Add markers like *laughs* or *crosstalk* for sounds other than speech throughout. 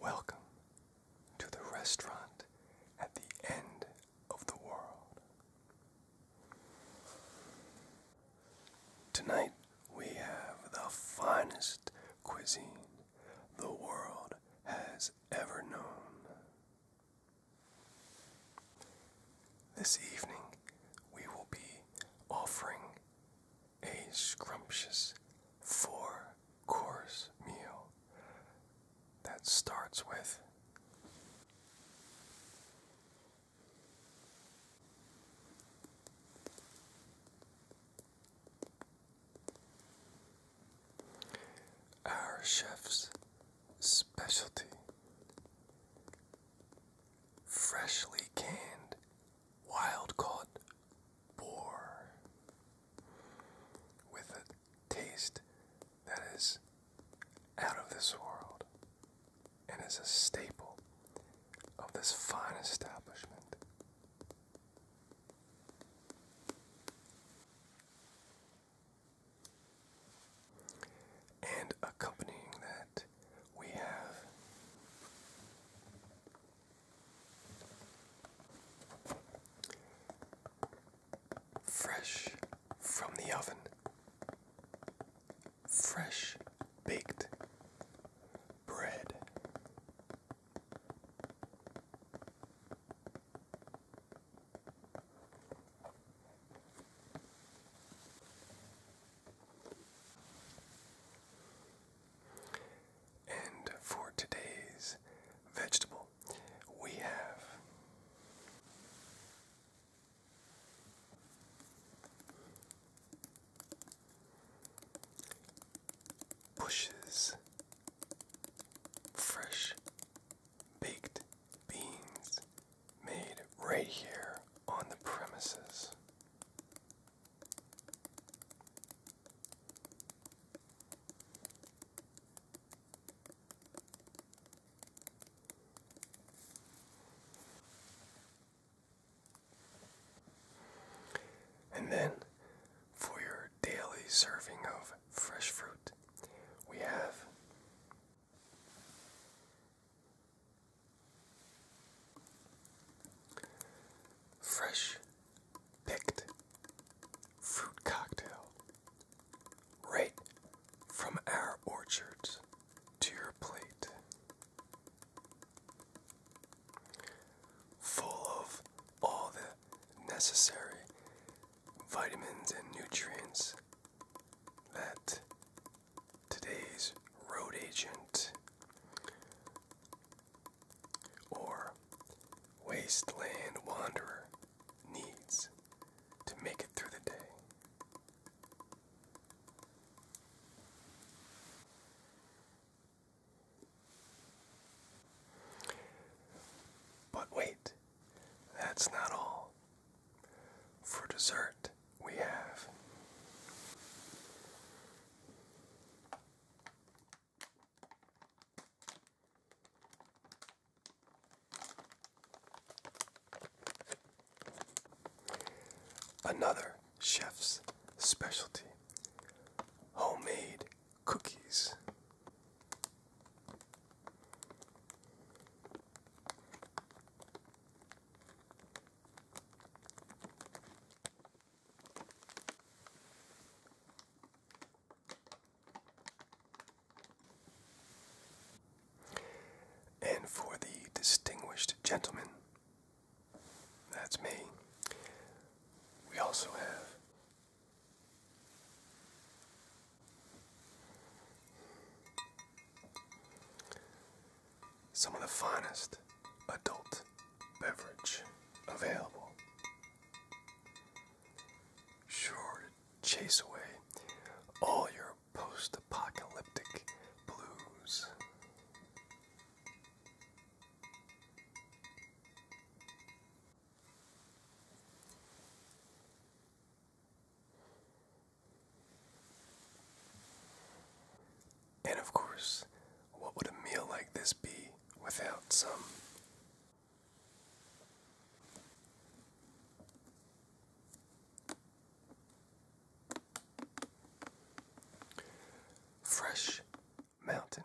Welcome to the restaurant at the end of the world. Tonight we have the finest cuisine the world has ever known. This evening we will be offering a scrumptious four course meal that starts with our chef's specialty freshly canned wild caught boar with a taste that is out of this world and is a staple of this fine establishment. And accompanying that, we have Fresh from the oven. Fresh baked bread. And for today's vegetable, we have bushes, fresh baked beans made right here on the premises. And then for your daily serving of fresh fruit, we have fresh picked fruit cocktail right from our orchards to your plate. Full of all the necessary vitamins and nutrients that today's road agent or wasteland wanderer needs to make it through the day. But wait, that's not all. For dessert, we have Another chef's specialty homemade cookies. And for the distinguished gentleman, that's me, we also have some of the finest adult beverage available. Sure chase away all your post apocalyptic blues. And of course, what would a meal like this be without some. Fresh mountain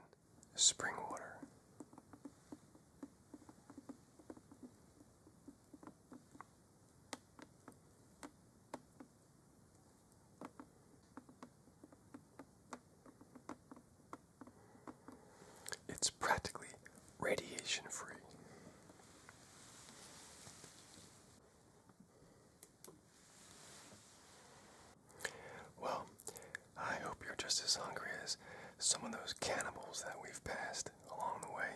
spring water. It's practically radiation free. Well, I hope you're just as hungry as some of those cannibals that we've passed along the way.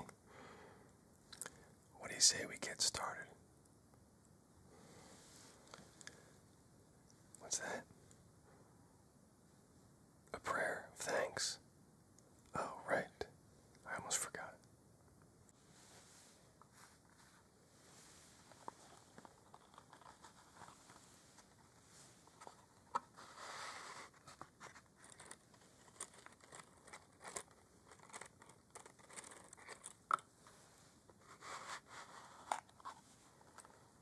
What do you say we get started? What's that? A prayer of thanks. Oh, right. I almost forgot.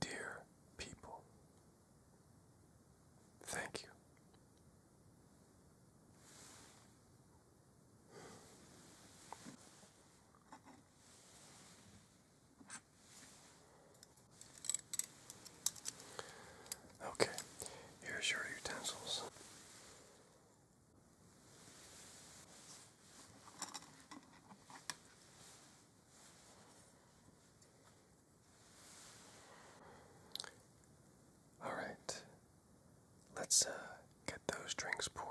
Dear people, thank you. Okay, here's your utensils. All right, let's uh, get those drinks poured.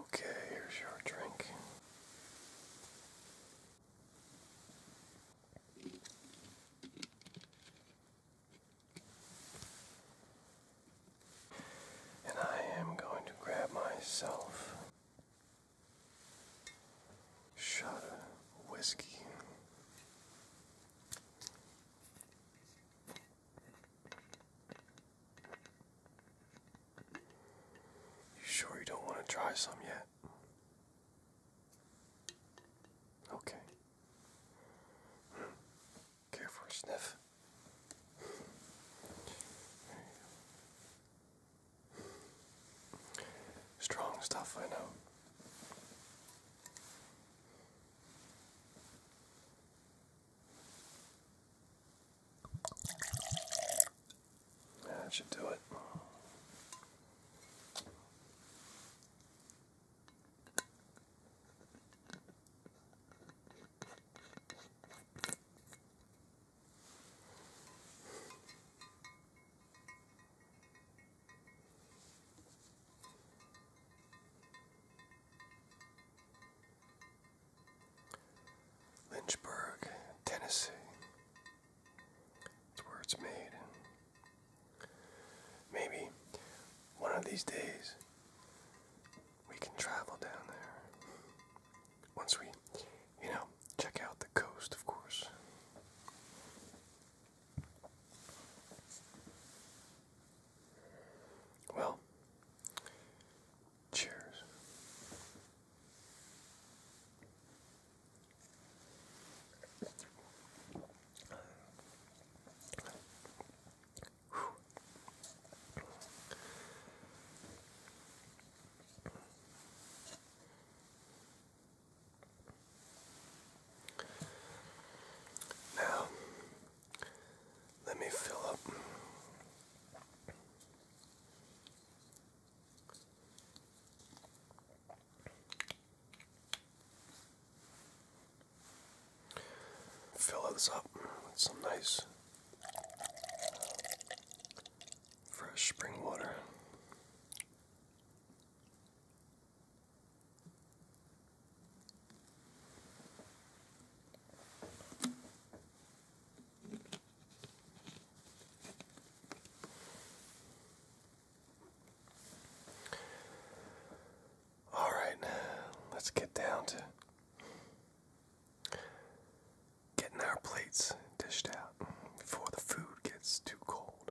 Okay, here's your drink. And I am going to grab myself shot of whiskey. You sure you don't want to try some yet? Okay. Care sniff? Strong stuff, I know. That should do it. Lynchburg, Tennessee. That's where it's made. Maybe one of these days we can travel down there. Once we, you know, check out the coast, of course. Well, Cheers. Now, let me fill up Fill this up with some nice fresh spring water. All right, let's get down to getting our plates dished out before the food gets too cold.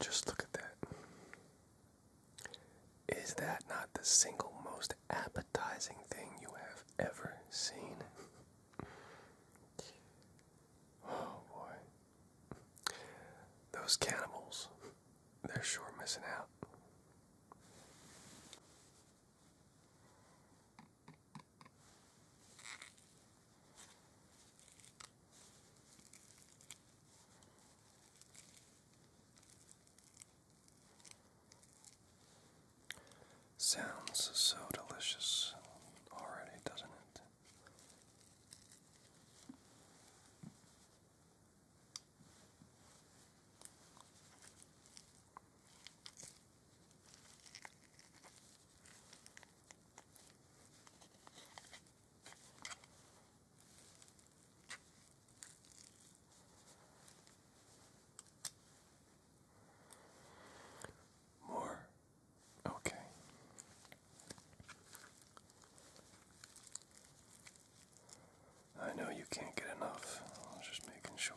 Just look at that. Is that not the single most appetizing thing you have ever seen? Oh boy. Those cannibals, they're sure missing out. Sounds so delicious already, doesn't it? More. Okay. I know you can't get enough. just making sure.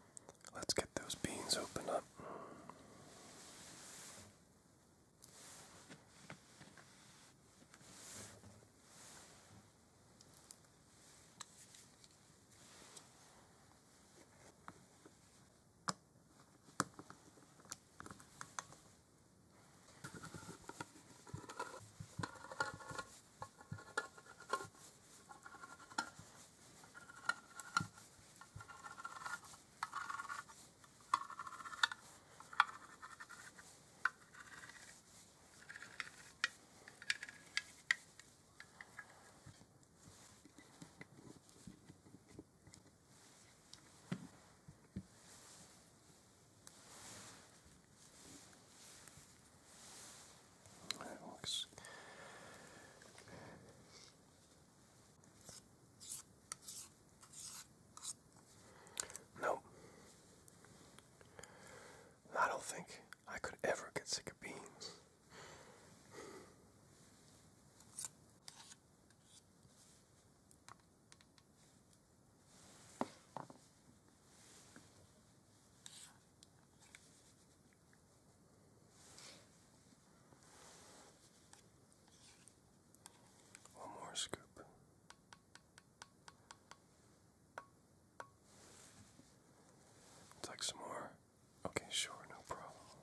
Let's get those beans open up. That looks Nope. I don't think I could ever get sick of beans. One more scoop. Take some more. Okay, sure, no problem.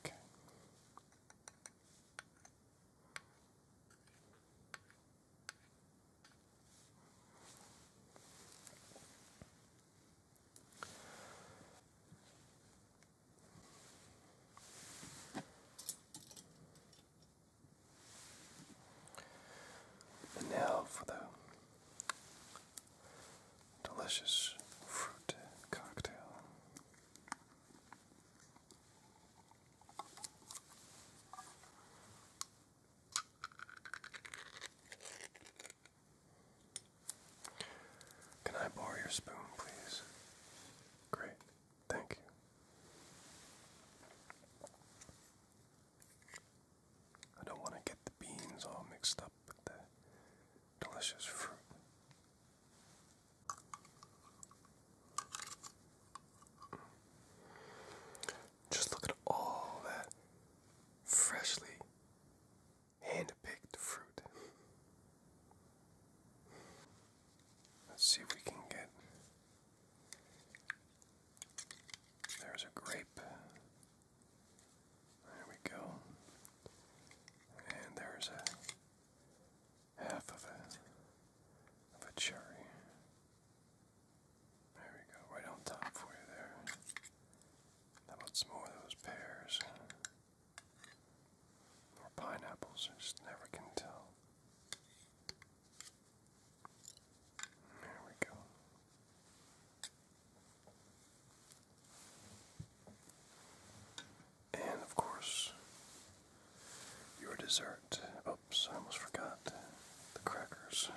Okay. And now for the delicious fruit cocktail. Can I borrow your spoon, please? Great, thank you. I don't want to get the beans all mixed up with the delicious fruit. Just look at all that freshly hand-picked fruit. Let's see if we can get. There's a grape. There we go. And there's a half of a of a cherry. There we go, right on top for you there. How about some more of those pears? Or pineapples, just never can tell. There we go. And of course, your dessert. Oh, I almost forgot the crackers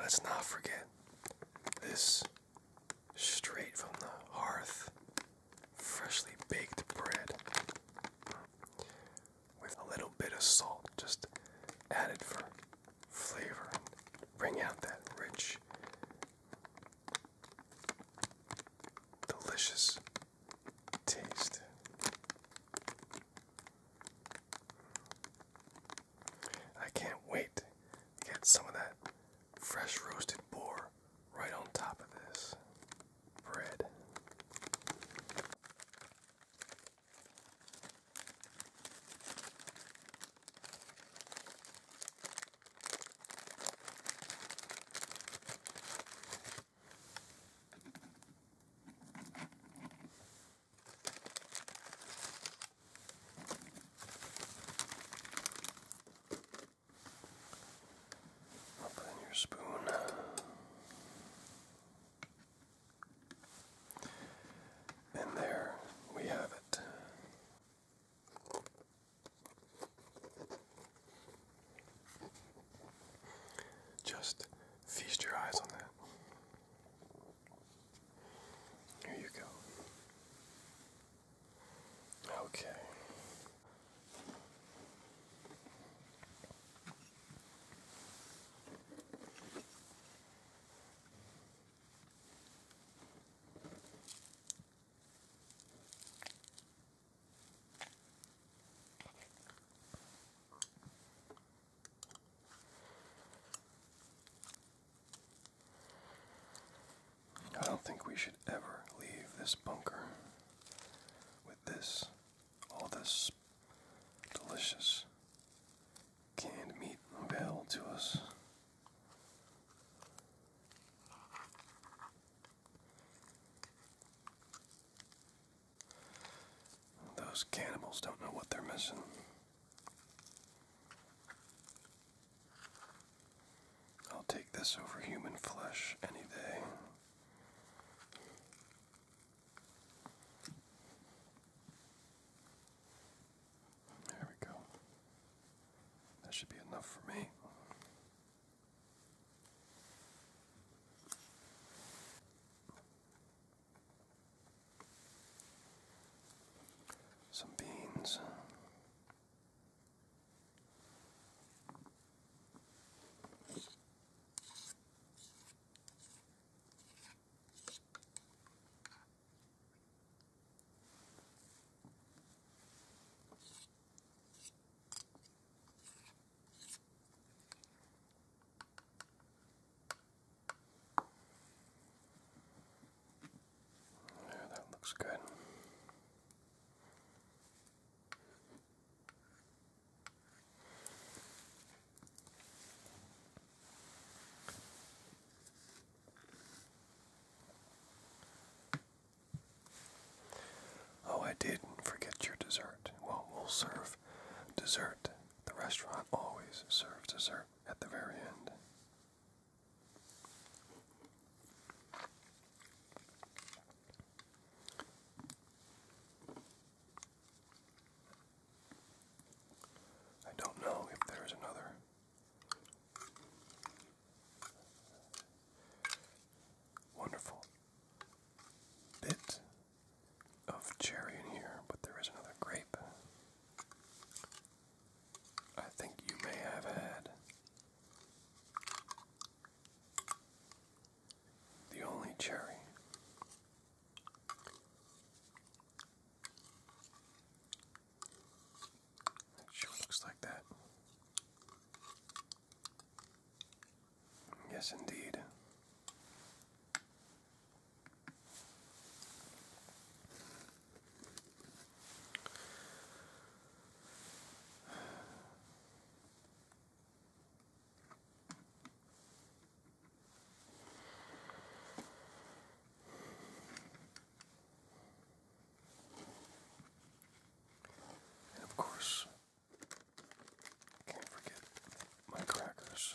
let's not forget this straight from the hearth, freshly baked bread with a little bit of salt just added for flavor and bring out that rich, delicious taste. I can't wait to get some of that fresh roasted boar right on top of this bread put in your spoon. And there we have it. Just feast your eyes on that. Here you go. Okay. I don't think we should ever leave this bunker with this, all this delicious canned meat available to us. Those cannibals don't know what they're missing. I'll take this over human flesh any day. There we go. That should be enough for me some beans. Yeah, that looks good. Oh, I did not forget your dessert. Well, we'll serve dessert. The restaurant always serves dessert at the very end. I don't know if there is another wonderful bit of cherry in here, but there is another grape. I think you may have had. The only cherry it sure looks like that. Yes, indeed. And of course, can't forget my crackers.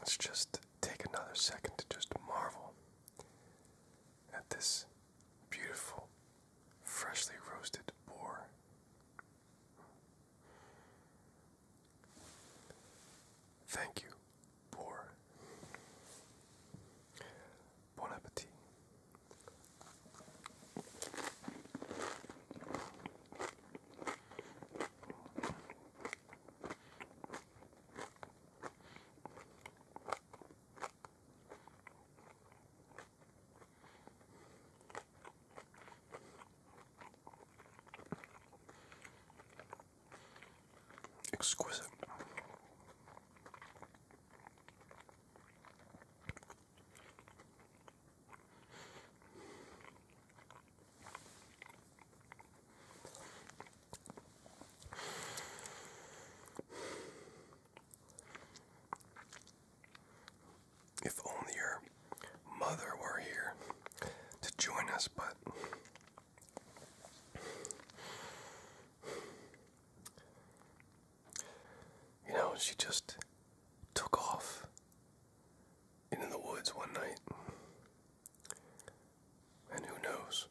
Let's just take another second to just marvel at this beautiful, freshly roasted boar. Thank you, boar. Bon appétit. Exquisite. If only your mother were here to join us, but you know, she just took off into the woods one night. And who knows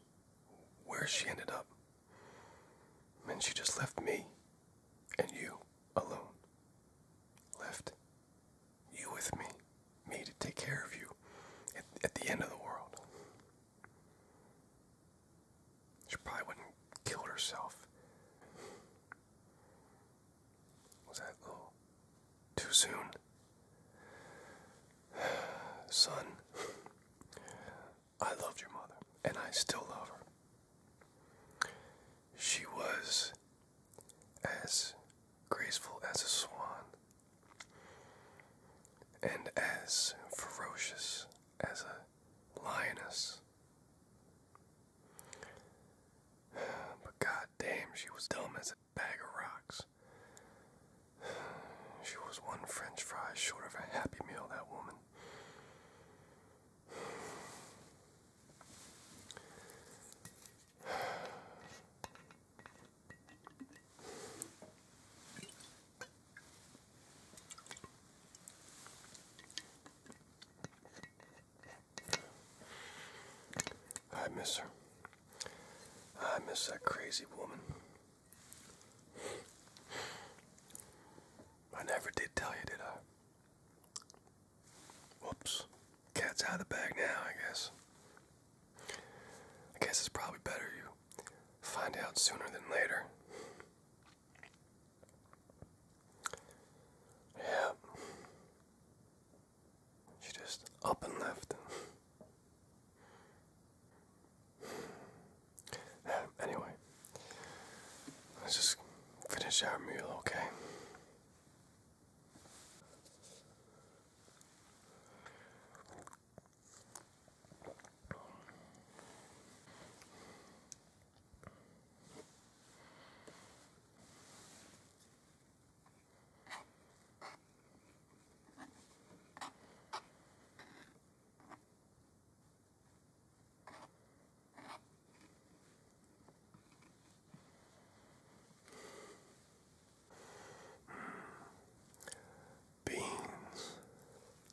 where she ended up. And she just left me and you alone. Left you with me, me to take care of you at, the end of the world. She probably wouldn't have killed herself. Was that too soon? *sighs* Son, I loved your mother, and I still love her. She was as graceful as a swan and as ferocious as a lioness. But goddamn, she was dumb as a bag of rocks. She was one French fry short of a happy meal, that woman. I miss her. I miss that crazy woman. I never did tell you, did I? Whoops. Cat's out of the bag now, I guess. I guess it's probably better you find out sooner than later. Yeah. She just up and left. anyway, let's just finish our meal, okay? Beans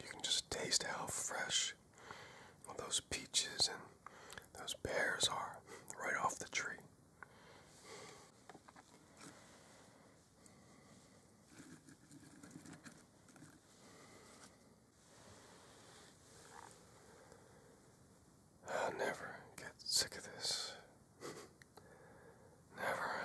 You can just taste how fresh those peaches and those pears are right off the tree. I'll never get sick of this. never.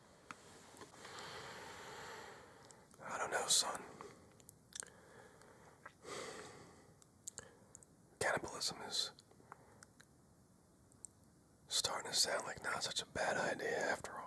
I don't know, son. Cannibalism is starting to sound like not such a bad idea after all.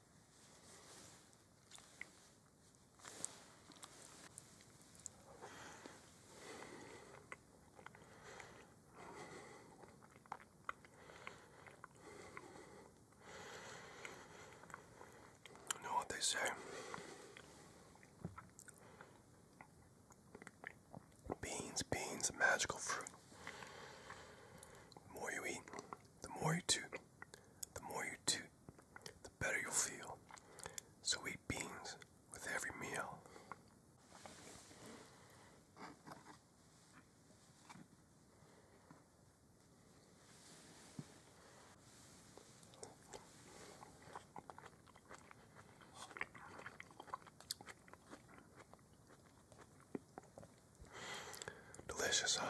know what they say? Beans, beans, magical fruit. The more you eat, the more you toot, the more you toot, the better you'll feel. So eat beans with every meal. Delicious, huh?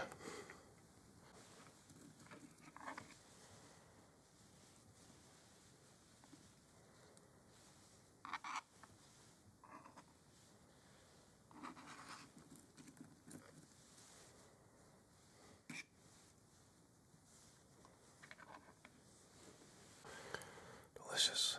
Delicious.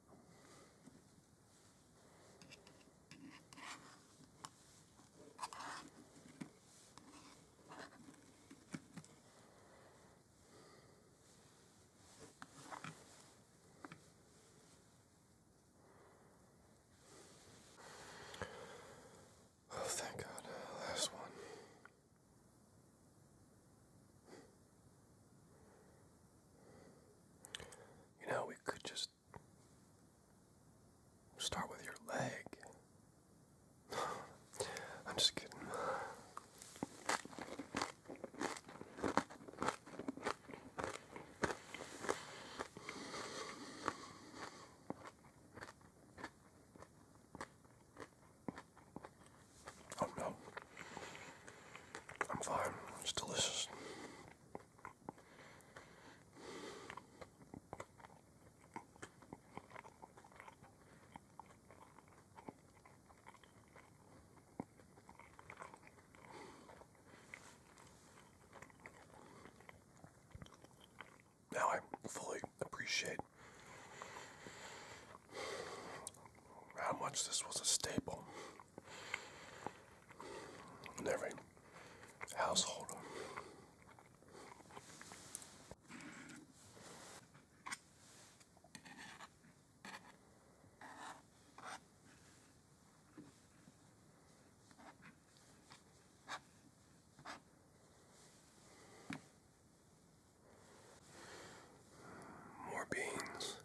Oh, thank God. Last one. You know, we could just start with your leg. *sighs* I'm just kidding. Oh no. I'm fine. It's delicious. Now I fully appreciate how much this was a staple every household. More beans.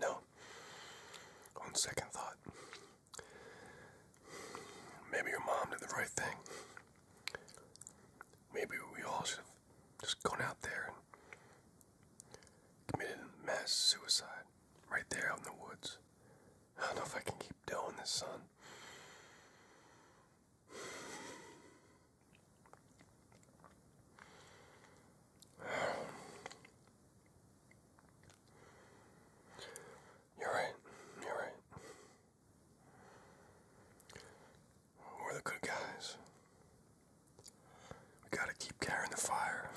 You on second thought, maybe your mom did the right thing. Maybe we all should have just gone out there and committed mass suicide right there out in the woods. I don't know if I can keep doing this, son. You're right. You're right. We're the good guys. We gotta keep carrying the fire.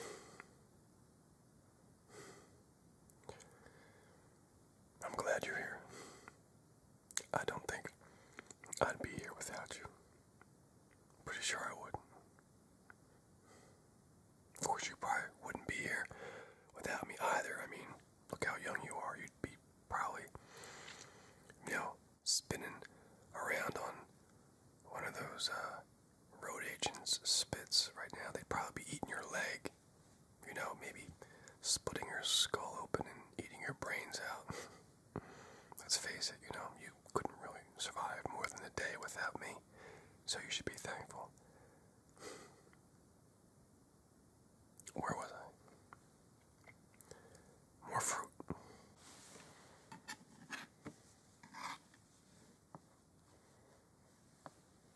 I'm glad you're here. I don't think I'd be here without you. Pretty sure I would. Of course, you probably wouldn't be here without me either. I mean, look how young you are. You'd be probably, you know, spinning around on one of those uh, road agents' spits right now. They'd probably be eating your leg you know, maybe splitting your skull open and eating your brains out. *laughs* Let's face it, you know, you couldn't really survive more than a day without me, so you should be thankful. *sighs* Where was I? More fruit.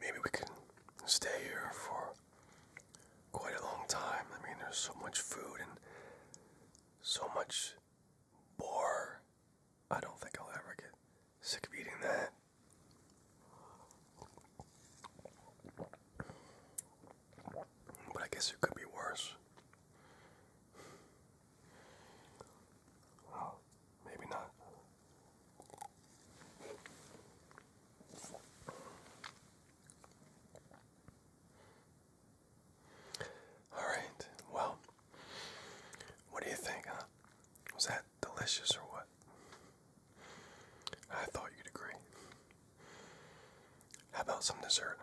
Maybe we can stay here for quite a long time. I mean, there's so much food and so much bore. I don't think I'll ever get sick of eating that. But I guess it could be worse. maybe not. All right. Well, what do you think, huh? Was that delicious or what? I thought you'd agree. How about some dessert,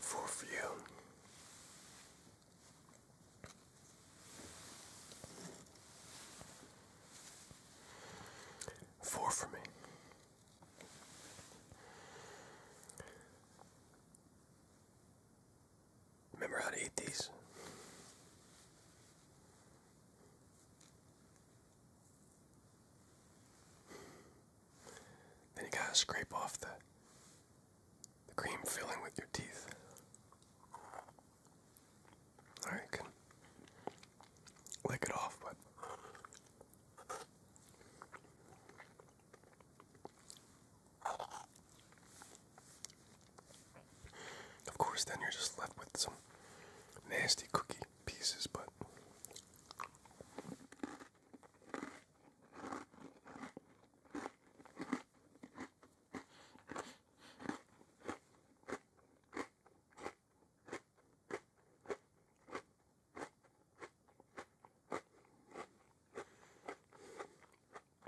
Four for you. Four for me. Remember how to eat these. Then you gotta scrape off the the cream filling with your teeth. All right, lick it off, but of course, then you're just left with some nasty cookie pieces, but.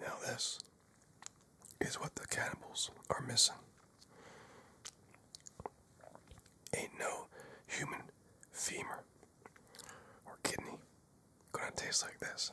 Now, this is what the cannibals are missing. Ain't no human femur or kidney gonna taste like this.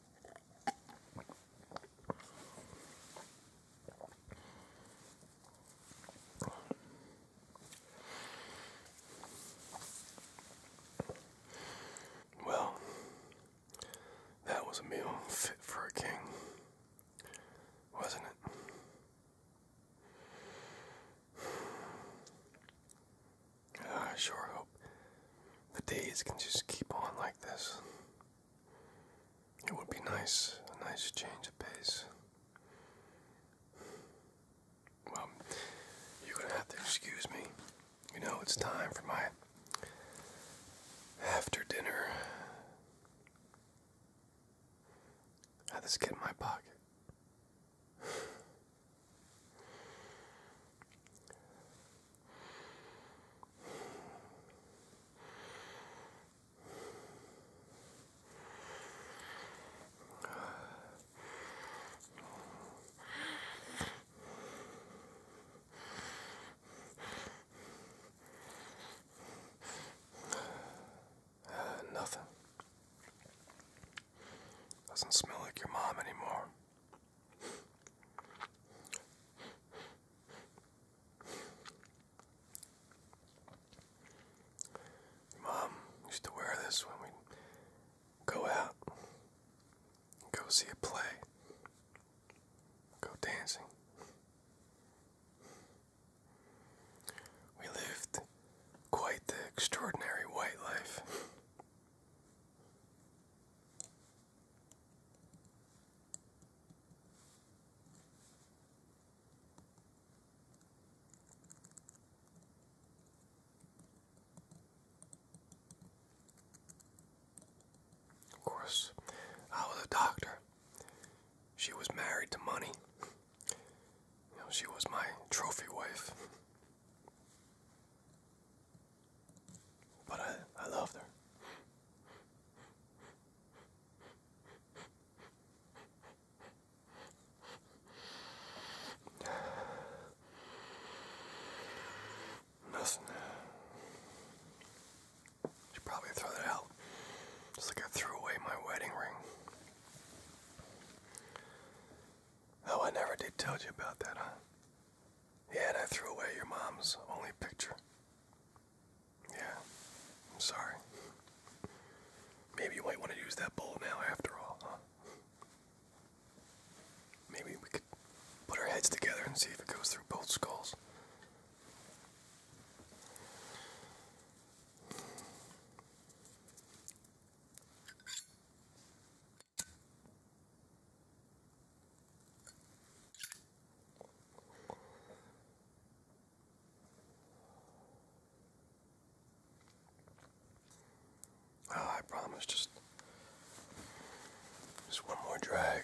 Well, that was a meal fit for a king, wasn't it? I sure hope the days can just keep on like this. It would be nice, a nice change of pace. Well, you're gonna have to excuse me. You know, it's time for my after dinner. How'd get in my pocket? Nothing. Doesn't smell like your mom anymore. Mom used to wear this when we go out, go see a play, go dancing. We lived quite the extraordinary white life. Of course, I was a doctor. She was married to money. she was my trophy wife. But I, I loved her. Listen, should probably throw that out. Just like I threw away my wedding ring. Oh, I never did tell you about that, huh? Yeah, and I threw away your mom's only picture. Yeah, I'm sorry. Maybe you might want to use that bowl now after all, huh? Maybe we could put our heads together and see if it goes through both skulls. Oh, I promise just just one more drag.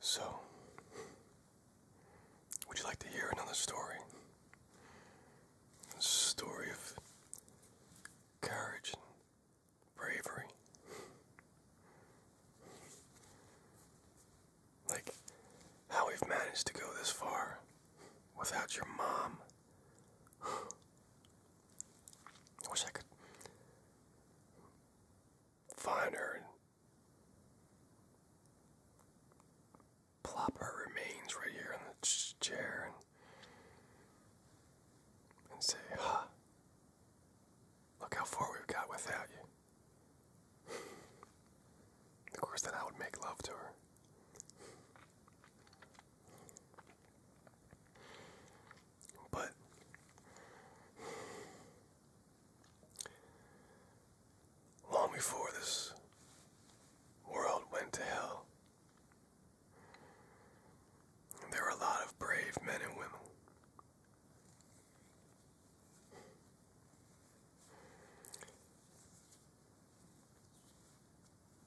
So, would you like to hear another story? A story of courage bravery. Like how we've managed to go this far without your mom. *sighs* I wish I could find her Plopper remains right here in the chair and, say, huh, look how far we've got without you. *laughs* of course, then I would make love to her. But Long before this world went to hell, there were a lot of brave men and women.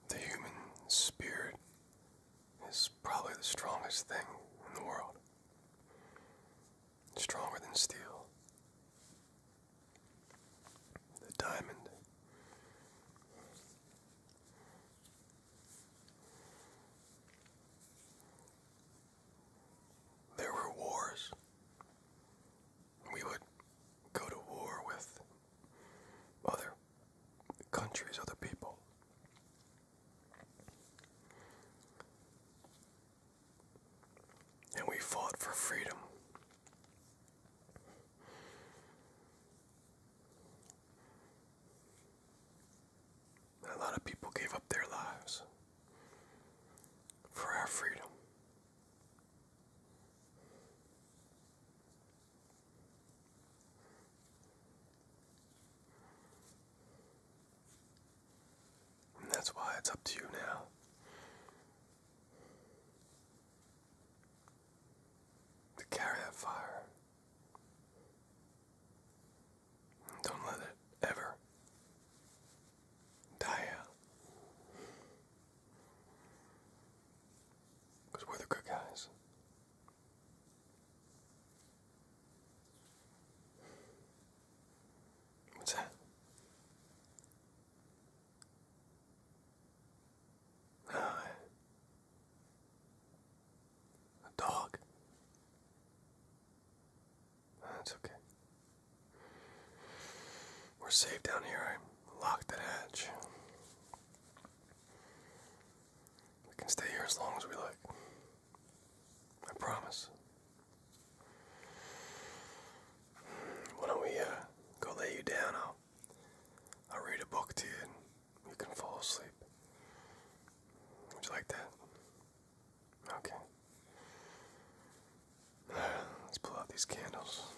The human spirit is probably the strongest thing in the world stronger than steel. The diamond. There were wars. We would go to war with other countries, other people and we fought for freedom. a lot of people gave up their lives for our freedom that's why it's up to you now. To carry that fire. don't let it ever die out. we're the good guys. What's that? Ah. a dog. That's okay. We're safe down here. I locked the hatch. We can stay here as long as we like. I promise. Why don't we uh, go lay you down? I'll, I'll read a book to you and you can fall asleep. Would you like that? Okay. *sighs* let's pull out these candles.